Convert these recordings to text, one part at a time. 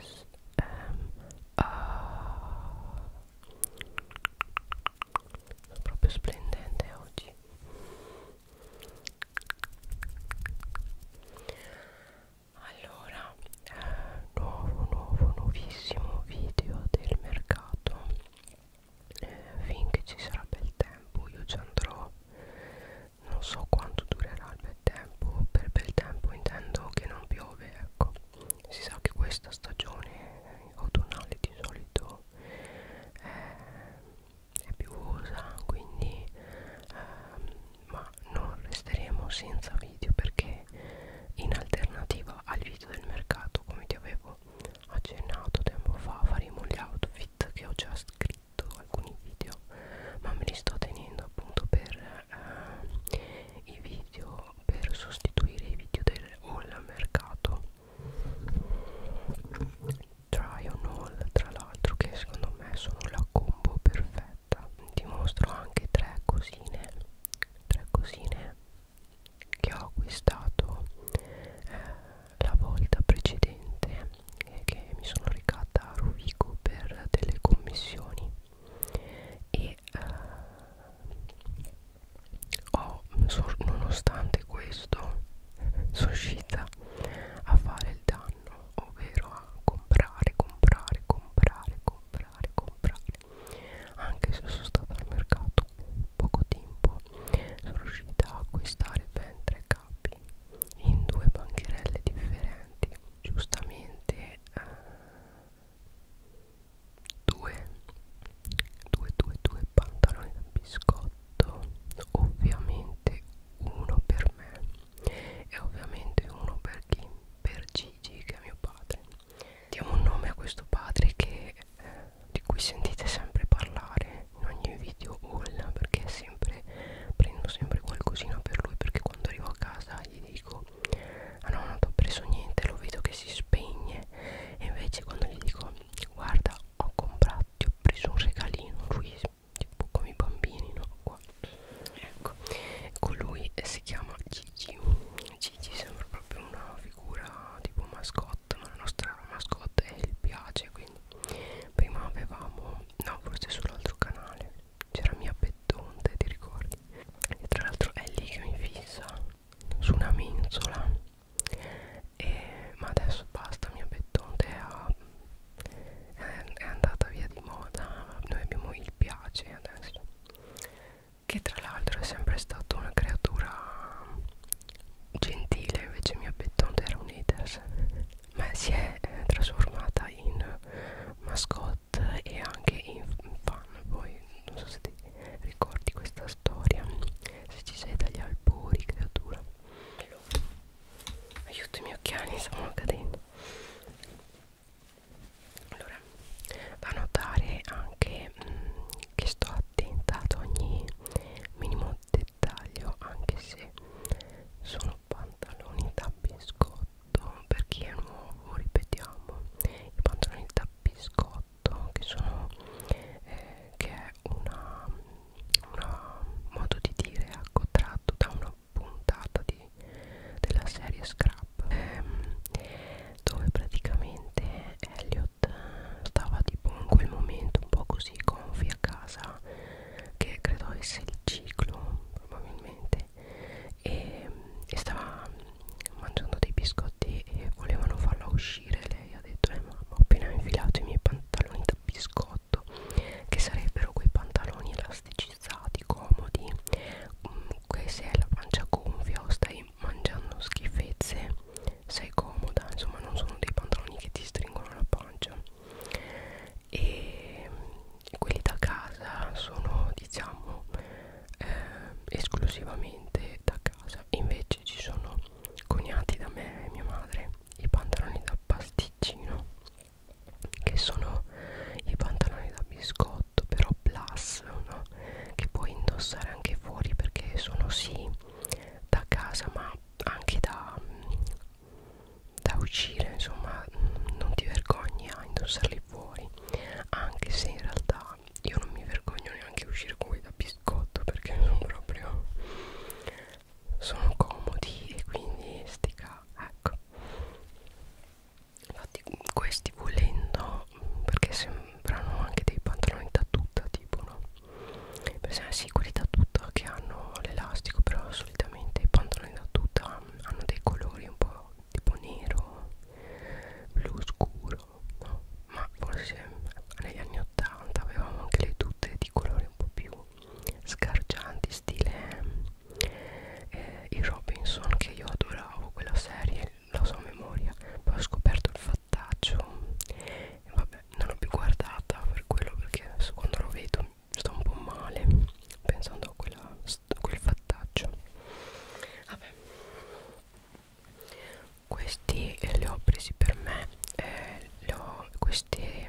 S M A Sono proprio splendente oggi allora nuovo nuovo nuovissimo video del mercato eh, finché ci sarà bel tempo io ci andrò non so quanto durerà il bel tempo per bel tempo intendo che non piove ecco si sa che questa stagione autunnale di solito è, eh, è piovosa quindi ehm, ma non resteremo senza video perché in alternativa al video del mercato come ti avevo accennato tempo fa faremo gli outfit che ho già scritto alcuni video ma me li sto tenendo appunto per eh, i video per sostituire i video del all mercato try on all tra l'altro che secondo me sono la combo perfetta ti mostro anche tre cosine tre cosine che ho acquistato eh, la volta precedente e che mi sono recata a Rovigo per delle commissioni e eh, ho, so, nonostante questo sono riuscita a fare il danno ovvero a comprare comprare comprare comprare comprare anche se sono stata al mercato poco tempo sono riuscita a acquistare ben tre capi in due bancherelle differenti giustamente eh, due, due, due, due pantaloni da biscotto ovviamente uno per me e ovviamente uno per chi? per Gigi che è mio padre diamo un nome a questo padre che, eh, di cui sentite sempre parlare in ogni video haul perché sempre prendo sempre qualcosina per lui perché quando arrivo a casa gli dico ah no non ti ho preso niente lo vedo che si spegne e invece quando gli dico guarda ho comprato ti ho preso un regalino lui tipo come i bambini no qua ecco colui ecco, si chiama Gigi Gigi sembra proprio una figura tipo mascotte ma la nostra mascotte è il piace quindi prima avevamo no forse sull'altro canale c'era mia pettonte ti ricordi e tra l'altro è lì che mi fissa su una mensola e, ma adesso basta mia pettonte è, è, è andata via di moda noi abbiamo il piace adesso che tra l'altro è sempre stata una creatura gentile invece mia pettonte era un haters ma si è eh, trasformata in mascotte e anche in fan poi non so se ti ricordi questa storia se ci sei dagli albori creatura aiuto i miei occhiali stanno cadendo allora da notare anche mh, che sto attenta ad ogni minimo dettaglio anche se sono pantaloni da biscotto per chi è nuovo ripetiamo i pantaloni da biscotto che sono eh, che è una, una modo di dire ecco tratto da una puntata di, della serie Scrap ehm, dove praticamente Elliot stava tipo in quel momento un po' così gonfi a casa che credo avesse il ciclo probabilmente e, e stava mangiando dei biscotti e volevano farla uscire lei ha detto eh mamma ho appena infilato i miei pantaloni da biscotto che sarebbero quei pantaloni elasticizzati comodi che se hai la pancia gonfia o stai mangiando schifezze sei comoda insomma non sono dei pantaloni che ti stringono la pancia e quelli da casa sono diciamo eh, esclusivamente da casa invece ci sono coniati da me e mia madre i pantaloni da pasticcino che sono i pantaloni da biscotto però plus no? che puoi indossare anche fuori perché sono sì da casa ma anche da da uscire insomma non ti vergogni a indossarli fuori anche se in realtà io non mi vergogno neanche uscire con da biscotto perché sono proprio sono comodi e quindi stica ecco infatti questi volendo perché sembrano anche dei pantaloni da tutta tipo no per esempio sicuri da tutta che hanno l'elastico però solitamente i pantaloni da tutta hanno dei colori un po' tipo nero blu scuro no? ma forse negli anni 80 avevamo anche le tute di colori un po' più sgargianti stile eh, i Robinson che io adoravo quella serie la so a memoria poi ho scoperto il fattaccio e vabbè non l'ho più guardata per quello perché adesso quando lo vedo sto un po' male pensando a, quella, a quel fattaccio vabbè questi li ho presi per me eh, ho, queste,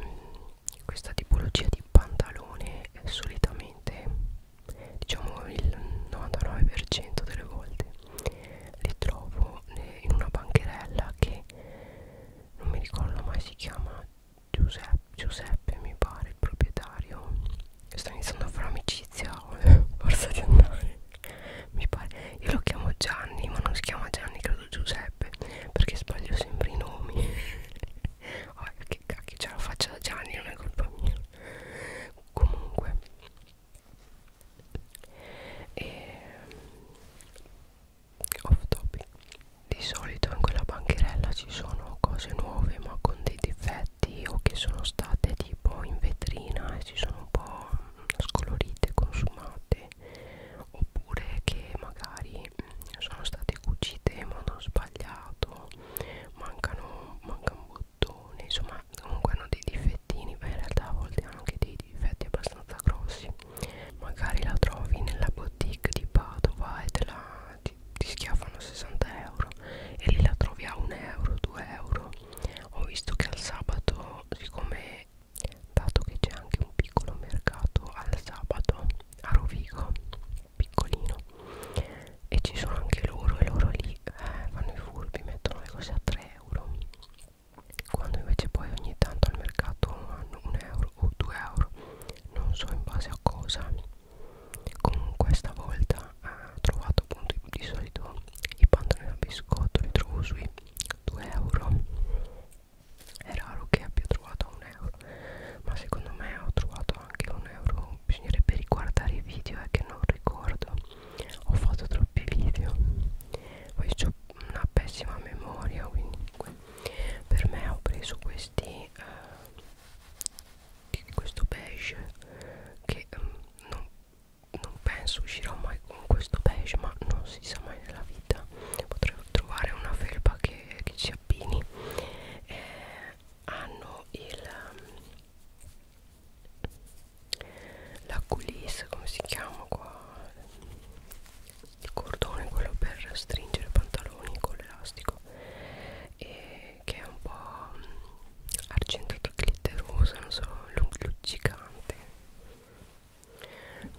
questa tipologia di pantalone eh, solitamente diciamo il 99% delle volte li trovo in una bancherella che non mi ricordo mai si chiama Giuseppe Giuseppe mi pare il proprietario sto iniziando a fare amicizia forza di andare mi pare io lo chiamo Gianni ma non si chiama Gianni credo Giuseppe perché sbaglio sempre i nomi oh, che cacchio ce la faccia da Gianni non è colpa mia comunque e ehm, off topic di solito in quella bancherella ci sono cose nuove ma con dei difetti oggetti o che sono state tipo in vetrina e si sono un po' scolorite, consumate oppure che magari mm, sono state cucite in modo sbagliato mancano, manca un bottone insomma comunque hanno dei difettini ma in realtà a volte hanno anche dei difetti abbastanza grossi magari la trovi nella boutique di Padova e te la ti, ti schiaffano 60 euro e lì la trovi a 1 euro 2 euro ho visto che al sabato siccome dato che c'è anche un piccolo mercato al sabato a Rovigo piccolino e ci sono anche loro e loro lì eh, fanno i furbi mettono le cose a 3 euro quando invece poi ogni tanto al mercato hanno 1 euro o 2 euro non so in base a cosa comunque stavolta ho eh, trovato appunto di solito i pantaloni da biscotto li trovo sui 2 euro è raro che abbia trovato un euro ma secondo me ho trovato anche un euro bisognerebbe riguardare i video è eh, che non ricordo ho fatto troppi video poi ho una pessima memoria quindi per me ho preso questi eh, di questo beige che um, non, non penso uscirò mai con questo beige ma non si sa mai nella vita potrei trovare una felpa che, che ci abbini eh, hanno il ehm, la coulisse come si chiama qua il cordone quello per stringere pantaloni con l'elastico e che è un po' argentato glitteroso, non so, luccicante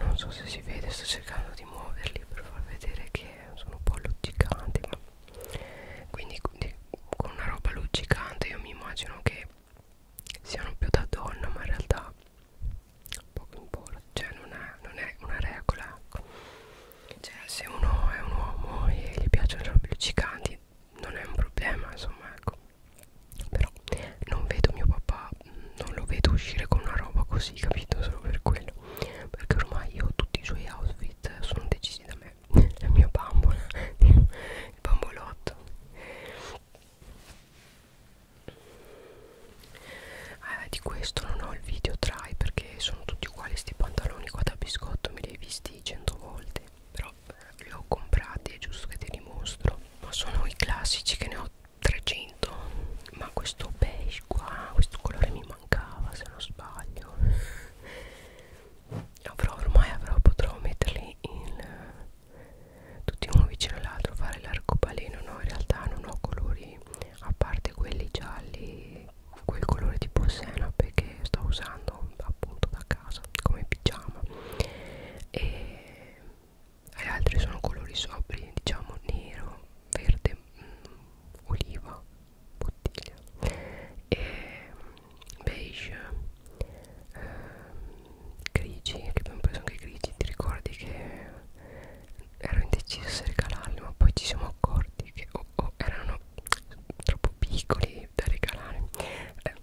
non so se si vede, sto cercando di muoverli per far vedere che sono un po' luccicanti ma quindi con una roba luccicante io mi immagino che siano più da donna ma in realtà poco importa cioè non è, non è una regola ecco cioè se uno è un uomo e gli piacciono le robe luccicanti non è un problema insomma ecco però non vedo mio papà non lo vedo uscire con una roba così capito solo per quello perché ormai io tutti i suoi outfit sono decisi da me la mia bambola il bambolotto eh, di questo non ho il video try perché che sono tutti uguali sti pantaloni qua da biscotto me li hai visti cento volte però eh, li ho comprati è giusto che ti dimostro ma sono i classici che ne ho 300 ma questo beige qua questo colore mi mancava se non sbaglio avrò ormai avrò potrò metterli in eh, tutti uno vicino all'altro fare l'arcobaleno no in realtà non ho colori a parte quelli gialli quel colore tipo senape che sto usando appunto da casa come pigiama e gli altri sono colori sobri diciamo nero, verde, mh, mm, oliva, bottiglia e mm, beige eh, grigi che abbiamo preso anche grigi ti ricordi che ero indecisa se regalarli ma poi ci siamo accorti che o oh, o erano troppo piccoli da regalare eh,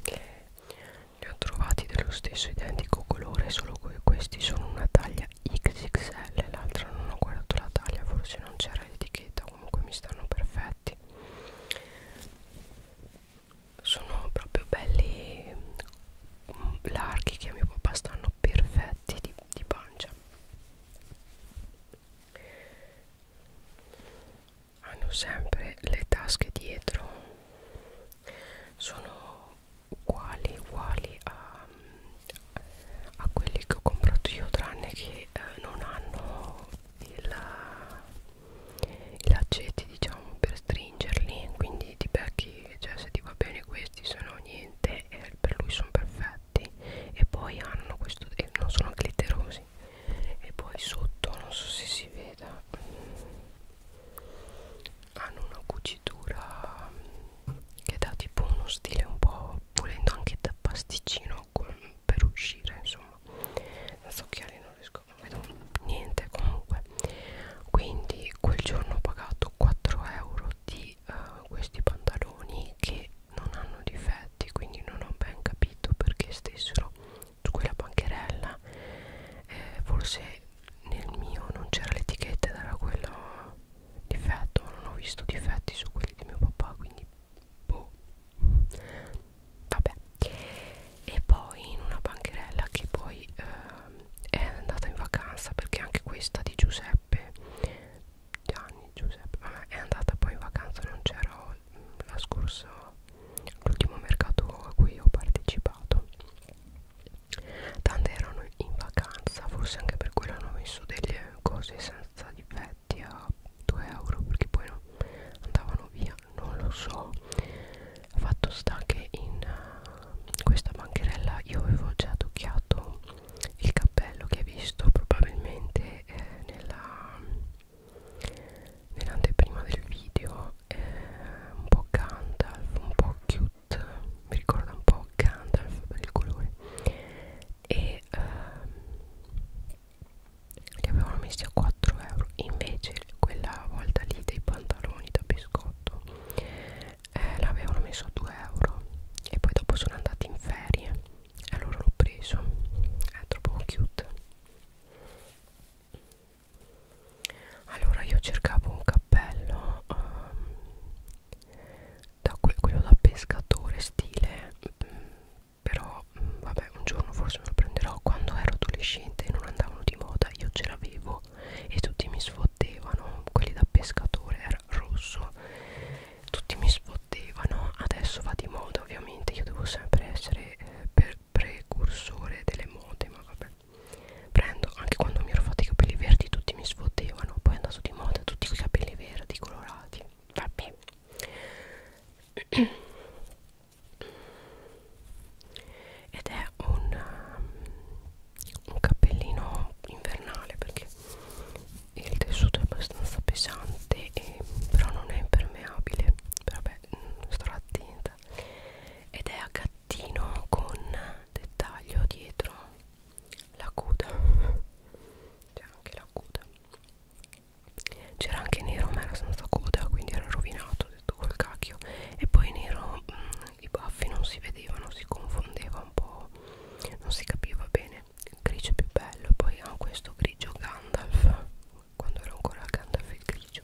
li ho trovati dello stesso identico colore solo che questi sono una taglia XXL l'altra non ho guardato la taglia forse non c'era l'etichetta comunque mi stanno perfetti sono proprio belli mm, larghi che a mio papà stanno perfetti di, di pancia hanno sempre le tasche dietro sono uguali uguali a, a quelli che ho comprato io tranne che eh, non hanno i laccetti diciamo per stringerli quindi ti becchi cioè se ti va bene questi se no niente e eh, per lui sono perfetti fatti e poi hanno questo e non sono glitterosi e poi sotto non so se si veda mm, hanno una cucitura mm, che dà tipo uno stile un po' volendo anche da pasticcino con, per uscire insomma senza occhiali non riesco non vedo niente comunque quindi quel giorno ho pagato 4 euro di di uh, eh, questi pantaloni che non hanno difetti quindi non ho ben capito perché stessero su quella bancherella eh, forse nel mio non c'era l'etichetta ed era quello difetto non ho visto difetti su quelli di mio papà quindi boh vabbè e poi in una bancherella che poi eh, è andata in vacanza perché anche questa di Giuseppe Gianni, Giuseppe Vabbè, è andata poi in vacanza non c'ero mm, la scorsa l'ultimo mercato a cui ho partecipato tante erano in vacanza forse anche per quello hanno messo delle cose senza difetti a 2 euro perché poi non andavano via non lo so fatto sta che in uh, questa bancherella io avevo già tocchiato il cappello che hai visto probabilmente eh, nella nell'anteprima del video è un po' Gandalf, un po' cute, mi ricorda un po' Gandalf per il colore e ehm, li avevano messi a 4 euro invece quella volta lì dei pantaloni da biscotto eh, l'avevano messo a 2 euro e poi dopo sono andati in ferie allora l'ho preso è troppo cute allora io cercavo un cappello um, da que quello da pescatore stile mm, però mm, vabbè un giorno forse me lo prenderò quando ero adolescente e non andavano di moda io ce l'avevo e tutti mi sfottevano quelli da pescatore era rosso tutti mi sfottevano adesso va di moda ovviamente io devo sempre essere eh, per precursore delle mode ma vabbè prendo anche quando mi ero fatti i capelli verdi tutti mi sfottevano poi è andato di moda tutti i capelli verdi colorati vabbè ed è un, um, un cappellino invernale perché il tessuto è abbastanza pesante e, però non è impermeabile vabbè mm, starò attenta ed è a gattino con dettaglio dietro la coda c'è anche la coda c'era anche nero ma era senza coda quindi era rovinato detto col cacchio e poi nero mh, mm, i baffi non si vedevano si confondeva un po' non si capiva bene grigio più bello poi ha questo grigio Gandalf quando era ancora Gandalf il grigio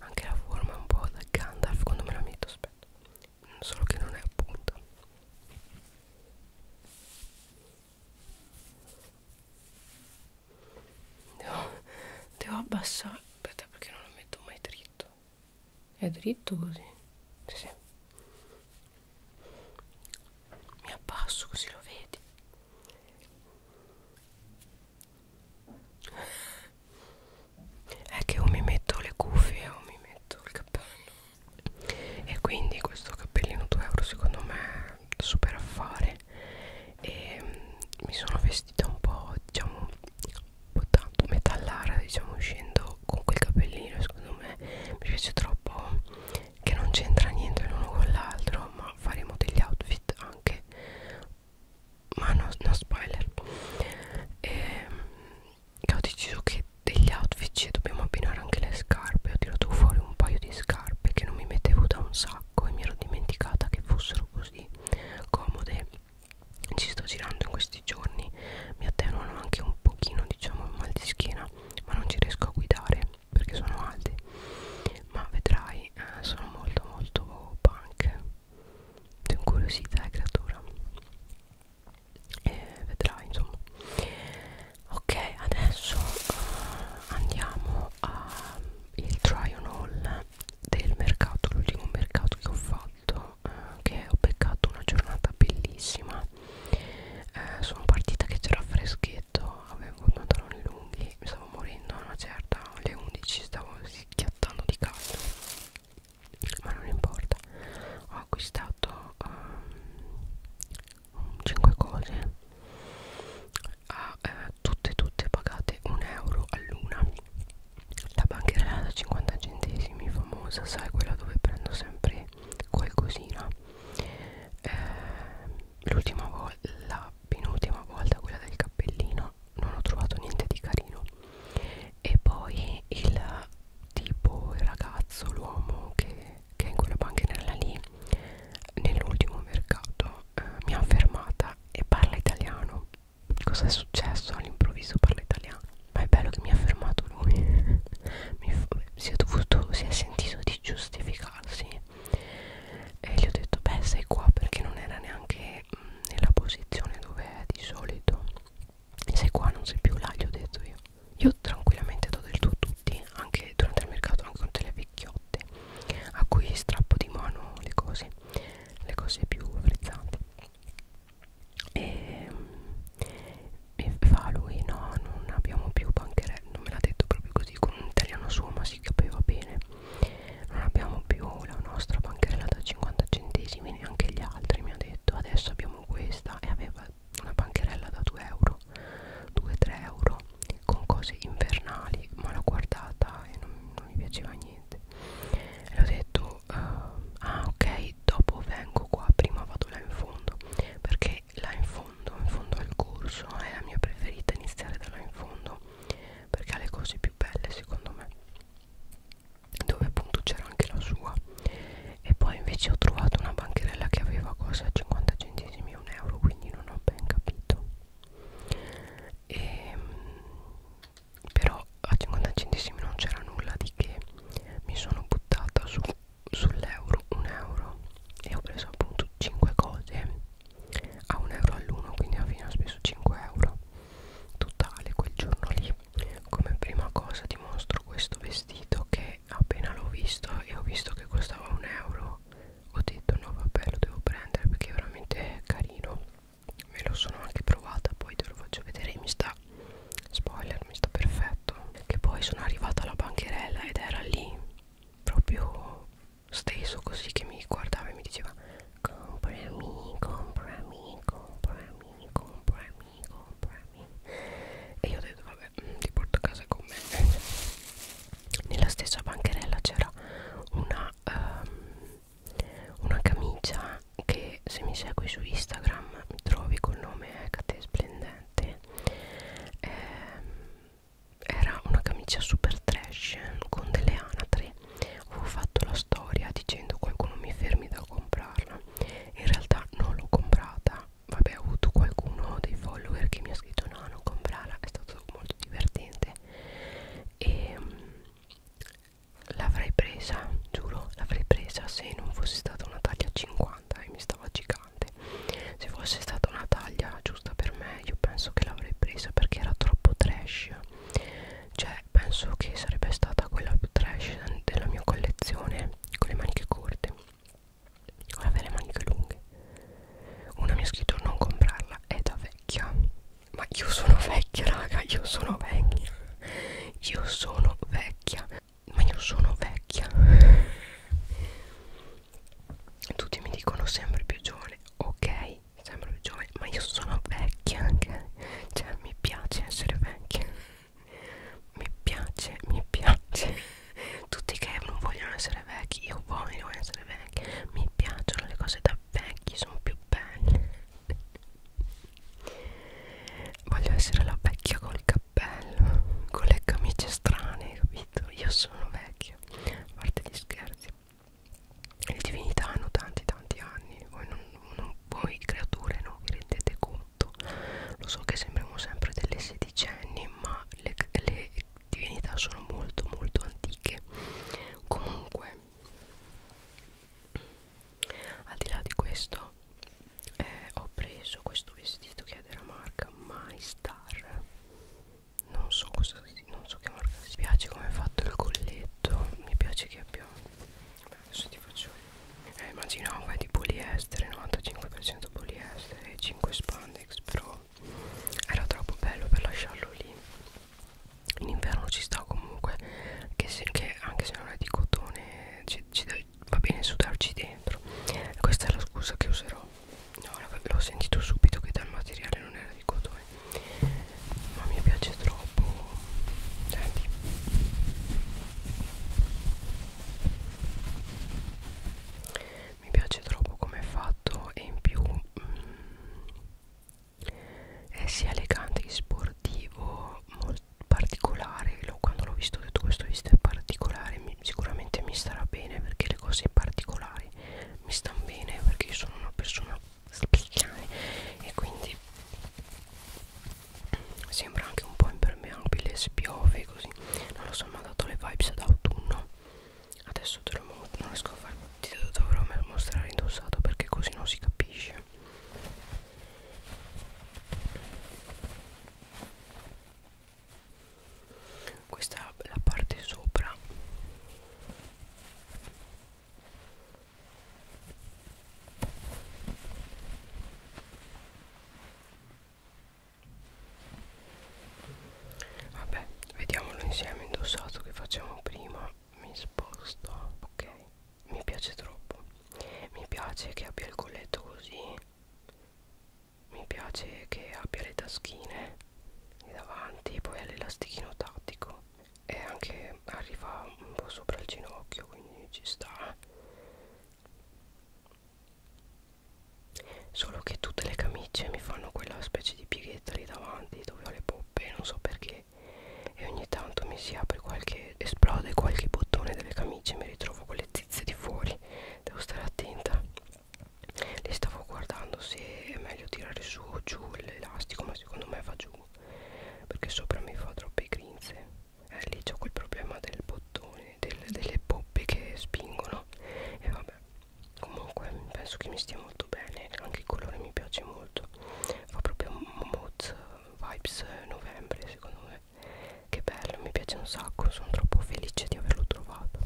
anche la forma è un po' da Gandalf quando me la metto aspetta solo che non è appunto devo, devo abbassare aspetta perché non lo metto mai dritto è dritto così sì, sì mi abbasso così lo vedi è che o mi metto le cuffie o mi metto il cappello e quindi questo cappellino 2 euro secondo me è super affare e mm, mi sono vestita un po' diciamo un po' tanto metallara diciamo uscendo però con quel capellino secondo me mi piace troppo che non c'entra niente l'uno con l'altro ma faremo degli outfit anche ma no, no spoiler e, che ho deciso che degli outfit ci dobbiamo abbinare anche le scarpe ho tirato fuori un paio di scarpe che non mi mettevo da un sacco e mi ero dimenticata che fossero così comode ci sto girando in questi giorni mi attenuano anche un pochino diciamo il mal di schiena ma non ci riesco a guidare perché sono alti ma vedrai eh, sono molto molto punk sono incuriosita e eh, creatura e vedrai insomma ok adesso uh, andiamo al try on haul del mercato l'ultimo mercato che ho fatto uh, che ho beccato una giornata bellissima eh, sono partita che c'era freschetto avevo i pantaloni lunghi mi stavo morendo a una certa alle 11 stavo schiattando di caldo ma non importa ho acquistato um, ehm, 5 cose a, eh, tutte tutte pagate 1 euro all'una la bancherella da 50 centesimi famosa sai quella dove prendo sempre qualcosina eh, l'ultima volta la penultima volta quella del cappellino non ho trovato niente di carino e poi il tipo il ragazzo l'uomo che, che è in quella panchinella lì nell'ultimo mercato eh, mi ha fermata e parla italiano cosa è successo all'improvviso parla italiano ma è bello che mi ha fermato lui mi, si, è dovuto, si è sentito di giustificarsi e gli ho detto beh sei qua perché non era neanche mh, mm, nella posizione dove è di solito sei qua non sei più là gli ho detto io io tranquillamente do del tu a tutti anche durante il mercato anche con delle vecchiotte a cui strappo di mano le cose le cose più frizzanti e, e fa lui no non abbiamo più bancherelle non me l'ha detto proprio così con un italiano suo ma si capiva bene non abbiamo più la nostra bancherella da 50 centesimi neanche gli altri mi ha detto adesso abbiamo questa e aveva una bancherella da 2 euro 2-3 euro con cose invernali ma l'ho guardata e non, non mi piaceva niente e l'ho detto uh, ah ok poi dopo vengo qua prima vado là in fondo perché là in fondo in fondo al corso è la mia preferita iniziare da là in fondo perché ha le cose più belle secondo me dove appunto c'era anche la sua e poi invece ho trovato una bancherella che aveva cosa 50 centesimi e un euro quindi non ho ben capito e, ehm, però a 50 centesimi non c'era nulla di che mi sono buttata su sull'euro un euro e ho preso appunto 5 cose a un euro all'uno quindi alla fine ho speso 5 euro totale quel giorno lì come prima cosa ti mostro questo vestito che appena l'ho visto e ho visto che costava un euro ho detto no vabbè lo devo prendere perché è veramente carino me lo sono anche provata poi te lo faccio vedere mi sta era spoiler mi sta perfetto che poi sono arrivata alla bancherella ed era lì proprio steso così che mi guardava e mi diceva comprami comprami comprami comprami comprami e io ho detto vabbè mm, ti porto a casa con me nella stessa bancherella c'era una um, una camicia che se mi segui su Instagram mi trovi col nome Ecate Splendente pesante eh, era una camicia super trash con delle anatre avevo fatto la storia dicendo qualcuno mi fermi da comprarla in realtà non l'ho comprata vabbè ho avuto qualcuno dei follower che mi ha scritto no non comprarla è stato molto divertente e ehm, l'avrei presa giuro l'avrei presa se non fosse stata una taglia 50 domanda e eh, mi stava gigante se fosse stata una taglia giusta per me io penso che l'avrei presa perché era troppo trash cioè penso che sarebbe stata quella più trash della mia collezione con le maniche corte con le maniche lunghe una mi ha scritto non comprarla è da vecchia ma io sono vecchia raga io sono vecchia io sono vecchia ma io sono vecchia tutti mi dicono sempre più giovane ok sempre più giovane ma io sono vecchia anche cioè mi piace essere vecchia mi piace mi piace tutti che non vogliono essere vecchi io voglio essere vecchia mi piacciono le cose da vecchi sono più belle voglio essere la vecchia col cappello con le camicie strane capito io sono vecchia a parte gli scherzi le divinità hanno tanti tanti anni voi, non, non, voi creature non vi rendete conto lo so che sembriamo sempre delle sedicenni ma le, le divinità sono molto molto antiche comunque al di là di questo eh, ho preso questo vestito che è della marca My Star non so cosa non so che marca mi piace come è fatto il colletto mi piace che abbia Beh, adesso ti faccio eh, immaginavo è di poliestere 95% poliestere 5 spandex però era troppo bello per lasciarlo lì in inverno ci sta comunque che, se, che anche se non è di cotone ci, ci, va bene sudarci dentro questa è la scusa che userò no, l'ho sentito subito che dal materiale non era di cotone ma mi piace troppo senti mi piace troppo come è fatto e in più mm, è sia elegante che sportivo molto particolare quando l'ho visto ho detto questo visto è particolare mi, sicuramente mi starà bene perché le cose particolari mi stanno bene perché io sono una persona speciale e quindi sembra anche un po' impermeabile se piove così non lo so mi ha dato le vibes d'autunno adesso te lo mostro non riesco a farlo ti dovrò mostrare indossato perché così non si capisce questa è la parte sopra vabbè vediamolo insieme indossato che facciamo prima mi sposto ok mi piace troppo mi piace che abbia il colletto così mi piace che abbia le taschine di davanti poi ha l'elastichino tattico e anche arriva un po' sopra il ginocchio quindi ci sta solo che tutte le camicie mi fanno quella specie di pieghetta lì davanti dove ho le poppe non so perché e ogni tanto mi si apre qualche e esplode qualche bottone delle camicie mi ritrovo con le zizze di fuori devo stare attenta le stavo guardando se è meglio tirare su o giù l'elastico ma secondo me va giù perché sopra mi fa troppe grinze eh, lì c'ho quel problema del bottone del, delle poppe che spingono e vabbè comunque penso che mi stia molto bene anche il colore mi piace molto fa proprio moz vibes novembre secondo me che bello mi piace un sacco sono troppo felice di averlo trovato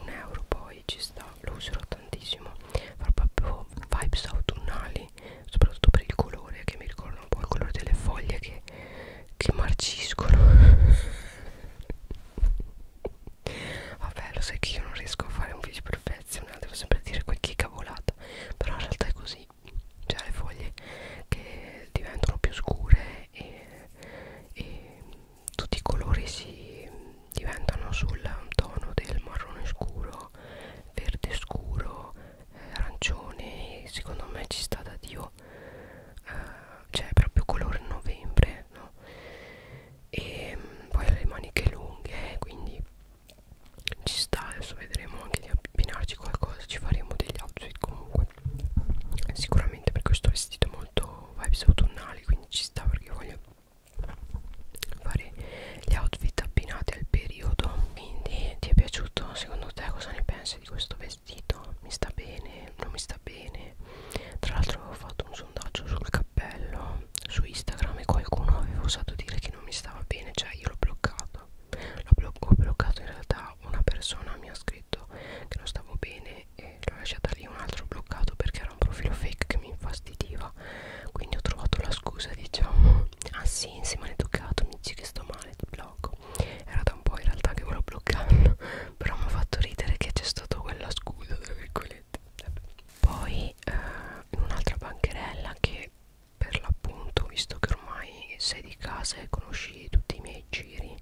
un euro poi ci sta lo userò tantissimo fa proprio vibes autunnali soprattutto per il colore che mi ricorda un po' il colore delle foglie che, che marciscono vabbè lo sai che io non riesco a fare un video perfezionato devo sempre dire qualche cavolata però in realtà è così cioè le foglie che diventano più scure e, e tutti i colori si diventano sul tono del marrone scuro verde scuro eh, arancione secondo me ci sta da dio eh, cioè proprio colore novembre no? e mm, poi le maniche lunghe eh, quindi ci sta adesso vedremo anche anche di abbinarci qualcosa ci faremo degli outfit comunque sicuramente perché questo vestito è molto vibes autunnali quindi ci sta perché voglio fare gli outfit abbinati al periodo quindi ti è piaciuto secondo te cosa ne pensi di questo vestito mi sta bene non mi sta bene tra l'altro avevo fatto un sondaggio sul cappello su instagram e qualcuno aveva osato dire che non mi stava bene cioè io l'ho bloccato l'ho blocco, bloccato in realtà una persona mi ha scritto che non stavo bene e l'ho lasciata lì un altro bloccato perché era un profilo fake che mi infastidiva quindi ho trovato la scusa diciamo ah sì insieme all'educato mi dici che sto male ti blocco era da un po' in realtà che volevo bloccarlo però mi ha fatto ridere che c'è stato quella scusa tra virgolette poi eh, in un'altra bancherella che per l'appunto visto che ormai sei di casa e conosci tutti i miei giri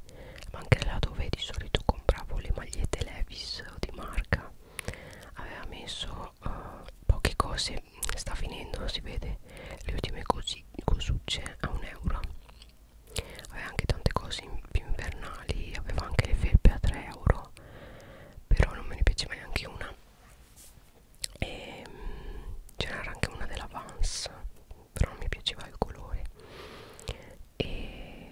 ma anche là dove di solito compravo le magliette Levis o di marca aveva messo uh, poche cose sta finendo si vede le ultime cosucce a un euro aveva anche tante cose in, più invernali aveva anche le felpe a 3 euro però non me ne piaceva neanche una e mm, ce n'era anche una della Vans però non mi piaceva il colore e,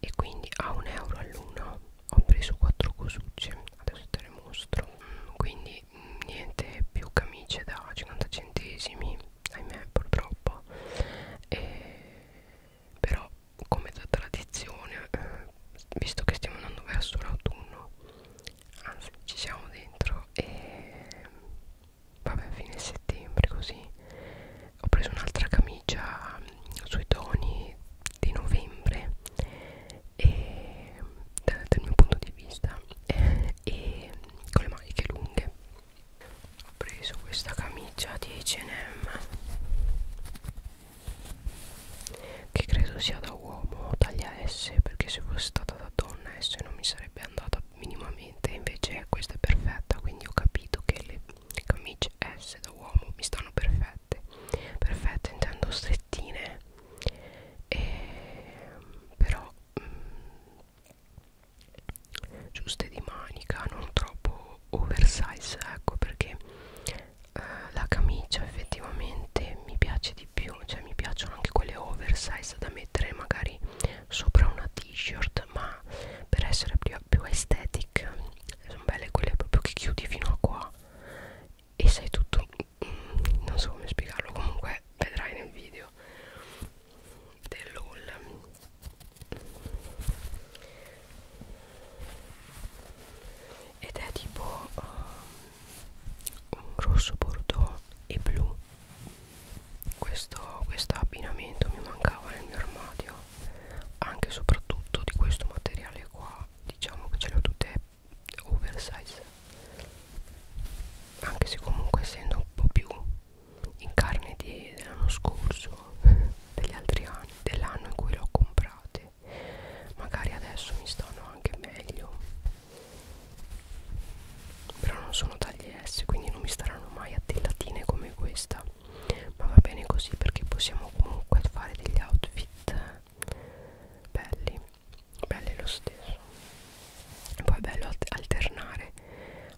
e quindi a un euro all'una ho preso quattro cosucce adesso te le mostro mm, quindi mm, niente più camicie da 50 centesimi ahimè purtroppo e, però come da tradizione eh, visto che stiamo andando verso l'autunno anzi ci siamo dentro e vabbè a fine settembre così ho preso un'altra camicia mm, sui toni di novembre e dal, dal mio punto di vista e con le maniche lunghe ho preso questa camicia di H&M che credo sia da uomo taglia S perché se fosse stata comportata da donna S non mi sarebbe andata minimamente invece questa è perfetta quindi ho capito che le camicie S da uomo mi stanno perfette perfette intendo strettine e, però mh, mm, giuste di manica non troppo oversize ecco perché eh, la camicia effettivamente mi piace di più cioè mi piacciono anche quelle oversize da mettere magari sopra una t-shirt ma per essere più, più aesthetic sono belle quelle proprio che chiudi fino a qua e sei tutto mm, non so come spiegarlo comunque vedrai nel video dell'haul ed è tipo uh, un rosso bordeaux e blu questo quest abbinamento mi mancava nel mio armadio anche e soprattutto di questo materiale qua diciamo che ce le ho tutte oversize anche se comunque essendo un po' più in carne dell'anno scorso degli altri anni dell'anno in cui l'ho comprate magari adesso mi stanno anche meglio però non sono tagli S quindi non mi staranno mai a tellatine come questa ma va bene così perché possiamo comunque fare degli outfit eh, belli belli lo stesso e poi è bello alternare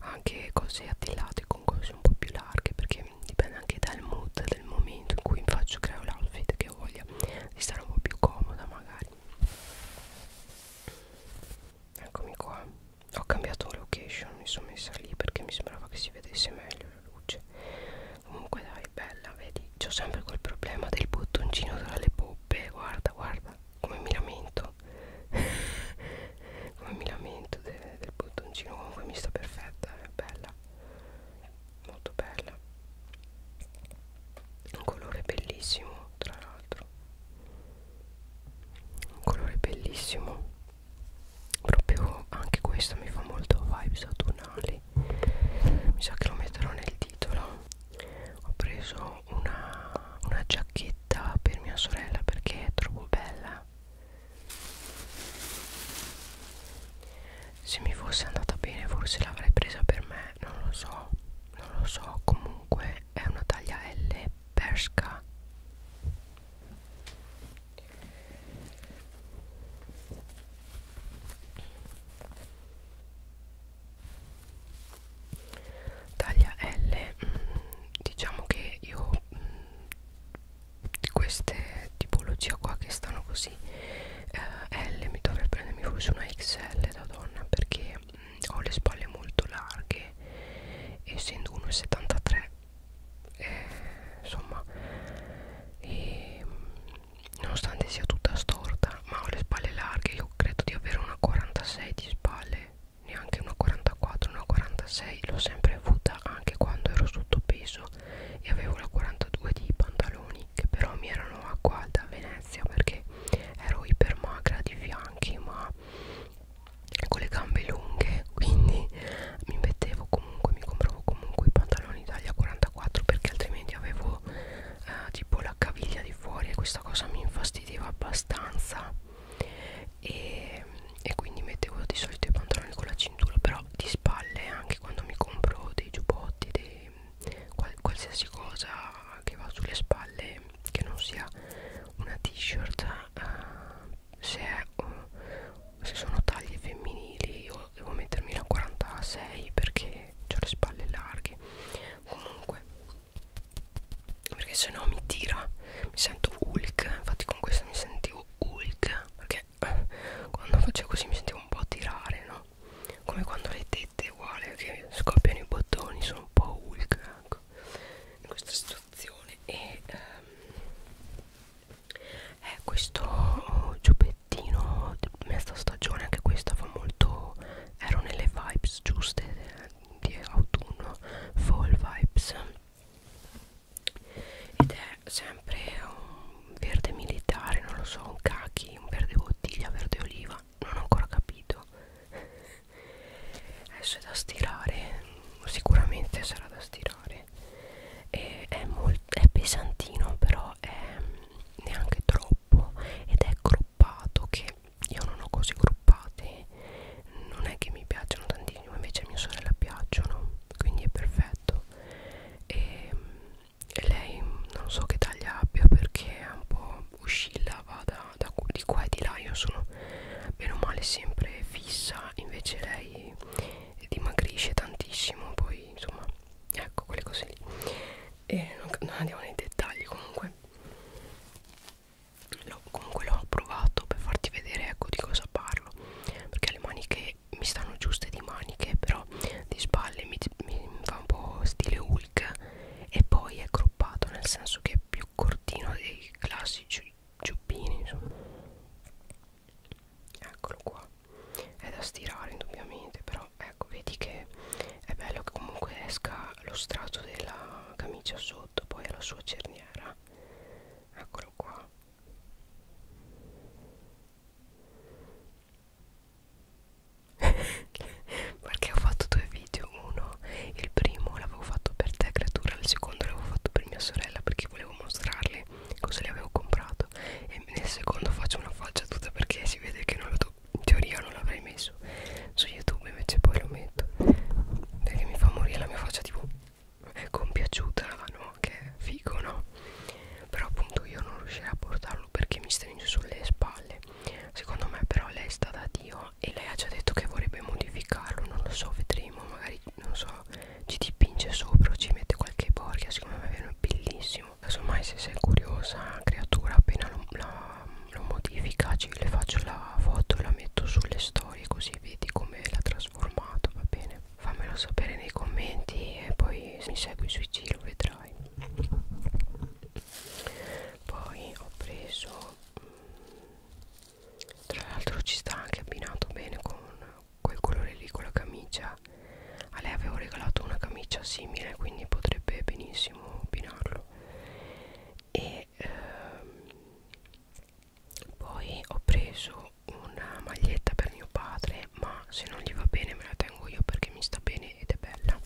anche cose attillate con cose un po' più larghe perché dipende anche dal mood del momento in cui faccio creo l'outfit che ho voglia di stare un po' più comoda magari Eccomi qua Ho cambiato location Mi sono messa lì perché mi sembrava che si vedesse meglio la luce Comunque dai bella vedi C'ho sempre quel problema del bottoncino tra le poppe Guarda guarda come mi lamento Come mi lamento de del bottoncino Comunque mi sta perfetta è bella Molto bella un colore bellissimo tra l'altro un colore bellissimo proprio anche questa mi fa molto vibe saturnali mi sa che lo metterò nel titolo ho preso una, una giacchetta per mia sorella perché è troppo bella se mi fosse andata bene forse l'avrei presa per me non lo so non lo so comunque è una taglia L persca taglia L mm, diciamo che io mm, queste tipologie qua che stanno così eh, L mi dovrei prendermi forse una XL da donna perché mh, mm, ho le spalle molto larghe essendo 1,73 eh, insomma e, mm, nonostante sia tutta storta ma ho le spalle larghe io credo di avere una 46 di spalle neanche una 44 una 46 l'ho sempre avuta anche quando ero sottopeso e avevo la 42 di pantaloni panni che però mi erano a qua da Venezia perché ero ipermagra di fianchi ma con le gambe lunghe quindi mi mettevo comunque mi compravo comunque i pantaloni taglia 44 perché altrimenti avevo eh, tipo la caviglia di fuori e questa cosa mi infastidiva abbastanza e, e quindi mettevo di solito i pantaloni con la cintura però di spalle anche quando mi compro dei giubbotti dei, qual qualsiasi cosa che va sulle spalle che non sia una t-shirt uh, se, uh, se sono taglie femminili io devo mettermi la 46 perché ho le spalle larghe comunque perché se no mi tira mi sento Hulk infatti con questa mi sentivo Hulk perché eh, quando facevo così mi sentivo un po' tirare no po' come quando le tette uguale che scoppiano i bottoni sono un po' Hulk ecco, in questa situazione e ehm, è eh, questo giubbettino mezza stagione anche questa fa molto ero nelle vibes giuste eh, di autunno fall vibes ed è sempre un verde militare non lo so un kaki un verde bottiglia verde oliva non ho ancora capito adesso è da stirare sicuramente sarà da stirare e è, è pesantino però è mm, neanche troppo ed è gruppato che io non ho cose gruppate non è che mi piacciono tantissimo invece a mia sorella piacciono quindi è perfetto e mm, e lei non so che taglia abbia perché è un po' oscillava da, da, di qua e di là io sono meno male sempre fissa invece lei dimagrisce tantissimo poi insomma ecco quelle cose lì e non, non andiamo nei dettagli comunque no, comunque l'ho provato per farti vedere ecco di cosa parlo perché le maniche mi stanno giuste di maniche però di spalle mi, mi fa un po' stile hula Hulk e poi è croppato nel senso che è più cortino dei classici giubbini insomma. eccolo qua è da stirare indubbiamente però ecco vedi che è bello che comunque esca lo strato della camicia sotto poi alla sua cerniera eccolo qua perché ho fatto due video uno il primo l'avevo fatto per te creatura il secondo l'avevo fatto per mia sorella perché volevo mostrarle cosa le avevo comprato e nel secondo faccio una falciatuta perché si vede che non lo in teoria non l'avrei messo su youtube invece poi lo metto perché mi fa morire la mia faccia tipo compiaciuta no che è figo no però appunto io non riuscirei a portarlo perché mi stringe sulle spalle Secondo me però lei è stata Dio e lei ha già detto che vorrebbe modificarlo, non lo so, vedremo, magari non so, ci dipinge sopra o ci mette qualche borchia, secondo me è bellissimo. Casomai se sei curiosa, creatura, appena lo, la, lo modifica, ci, le faccio la foto e la metto sulle storie così vedi come l'ha trasformato, va bene? Fammelo sapere nei commenti e poi se mi segui sui giro vedrai poi ho preso mm, tra l'altro ci sta anche abbinato bene con quel colore lì con la camicia a lei avevo regalato una camicia simile quindi potrebbe benissimo abbinarlo e ehm, poi ho preso una maglietta per mio padre ma se non gli va bene me la tengo io perché mi sta bene ed è bella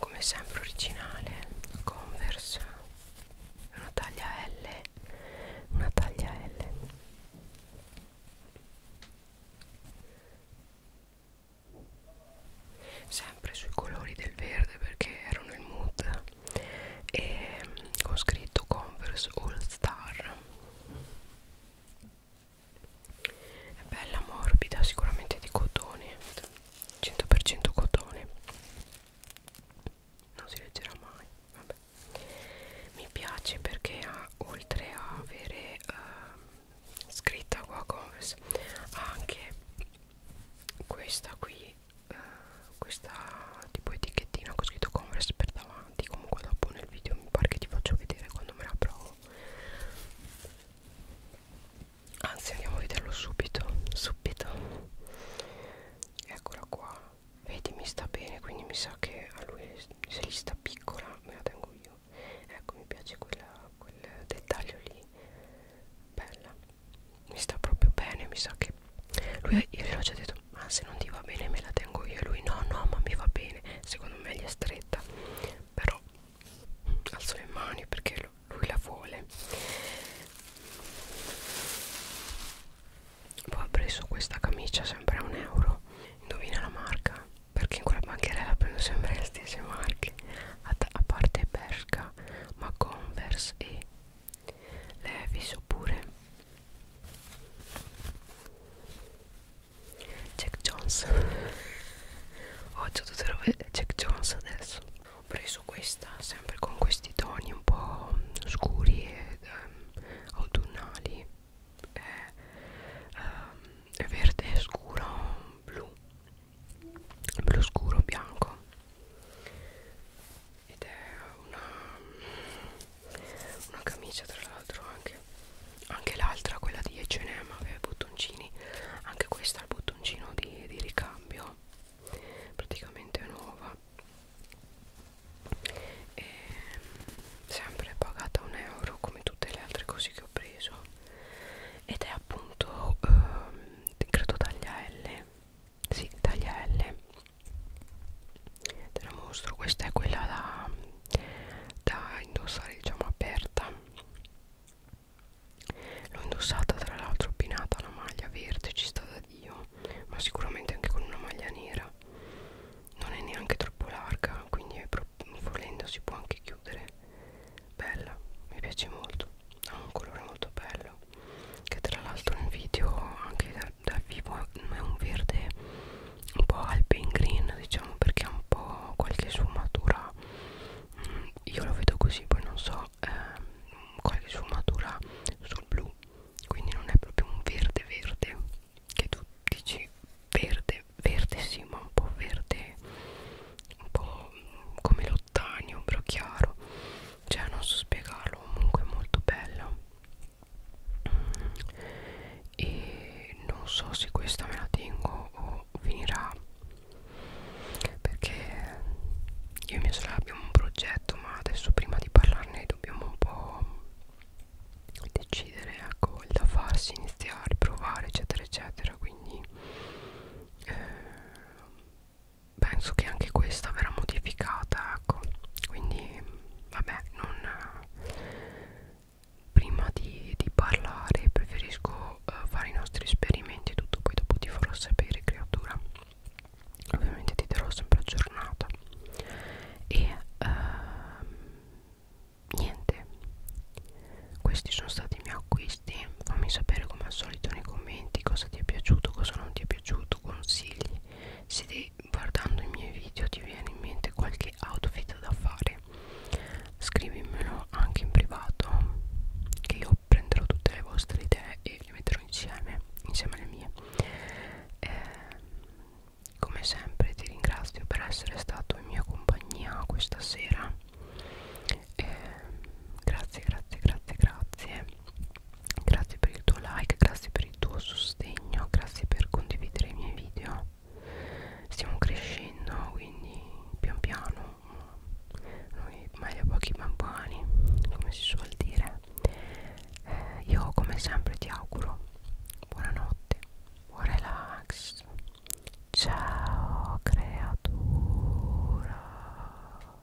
come sempre originale converse una taglia L una taglia L sempre sui colori del verde perché erano il mood e con mm, scritto Converse All Star è bella morbida sicuramente di cotone 100% cotone non si leggerà mai vabbè. mi piace perché ha, oltre a avere uh, scritta qua Converse ha anche questa qui eh, questa tipo etichettina con scritto Converse per davanti comunque dopo nel video mi pare che ti faccio vedere quando me la provo anzi andiamo a vederlo subito subito eccola qua vedi mi sta bene quindi mi sa che a lui se gli sta piccola me la tengo io ecco mi piace quella, quel dettaglio lì bella mi sta proprio bene mi sa che lui io gli ho già detto ma se non ti va bene me la tengo io e lui no no ma mi va bene secondo me gli è stretta però alzo le mani perché lui la vuole poi ho preso questa camicia sempre a un euro indovina la marca perché in quella bancherella prendo sempre le stesse marche a, a parte Bershka ma Converse e Levis oppure Jack Jones oggi ho tutte robe Jack Jones adesso ho preso questa sempre con questi toni un po' scuri e um, autunnali è, um, verde scuro blu blu scuro bianco ed è una, una camicia tra l'altro anche, anche l'altra quella di H&M aveva i bottoncini anche questa ha il bottoncino di, di ricambio praticamente nuova e sempre pagata un euro come tutte le altre cose che ho preso ed è appunto ehm, credo taglia L sì, taglia L te la mostro questa è quella da, da indossare diciamo aperta l'ho indossata tra l'altro pinata una maglia verde ci sta da dio ma sicuramente anche con una maglia nera non è neanche troppo larga quindi è volendo si può anche chiudere bella mi piace molto ha un colore molto bello che tra l'altro in video anche dal da vivo è un verde un po' alpine green diciamo perché ha un po' qualche sfumatura mm, io lo vedo così poi non so eh, qualche sfumatura sul blu quindi non è proprio un verde verde che tu dici verde verde sì ma un po' verde un po' come lo rottagno, però chiaro cioè non so spiegarlo, comunque è molto bella e non so se questa me la tengo o finirà perché io e mia sorella abbiamo un progetto ma adesso prima di parlarne dobbiamo un po' decidere ecco il da farsi iniziare provare eccetera eccetera quindi eh, penso che anche questa verrà modificata ecco quindi vabbè non prima di, di parlare preferisco uh, fare i nostri esperimenti e tutto poi dopo ti farò sapere creatura ovviamente ti terrò sempre aggiornata e uh, niente questi sono stati i miei acquisti fammi sapere come al solito nei commenti cosa ti è piaciuto cosa non ti è piaciuto soprattutto consigli se guardando i miei video ti viene in mente qualche outfit da fare scrivimelo anche in privato che io prenderò tutte le vostre idee e le metterò insieme insieme alle mie eh, come sempre ti ringrazio per essere stato in mia compagnia questa sera eh, grazie grazie grazie grazie grazie per il tuo like, grazie per il tuo sostegno, grazie per condividere i miei video. Stiamo crescendo, quindi pian piano, noi mai a pochi bambani, come si suol dire. Eh, io come sempre ti auguro buonanotte, buon relax. Ciao creatura.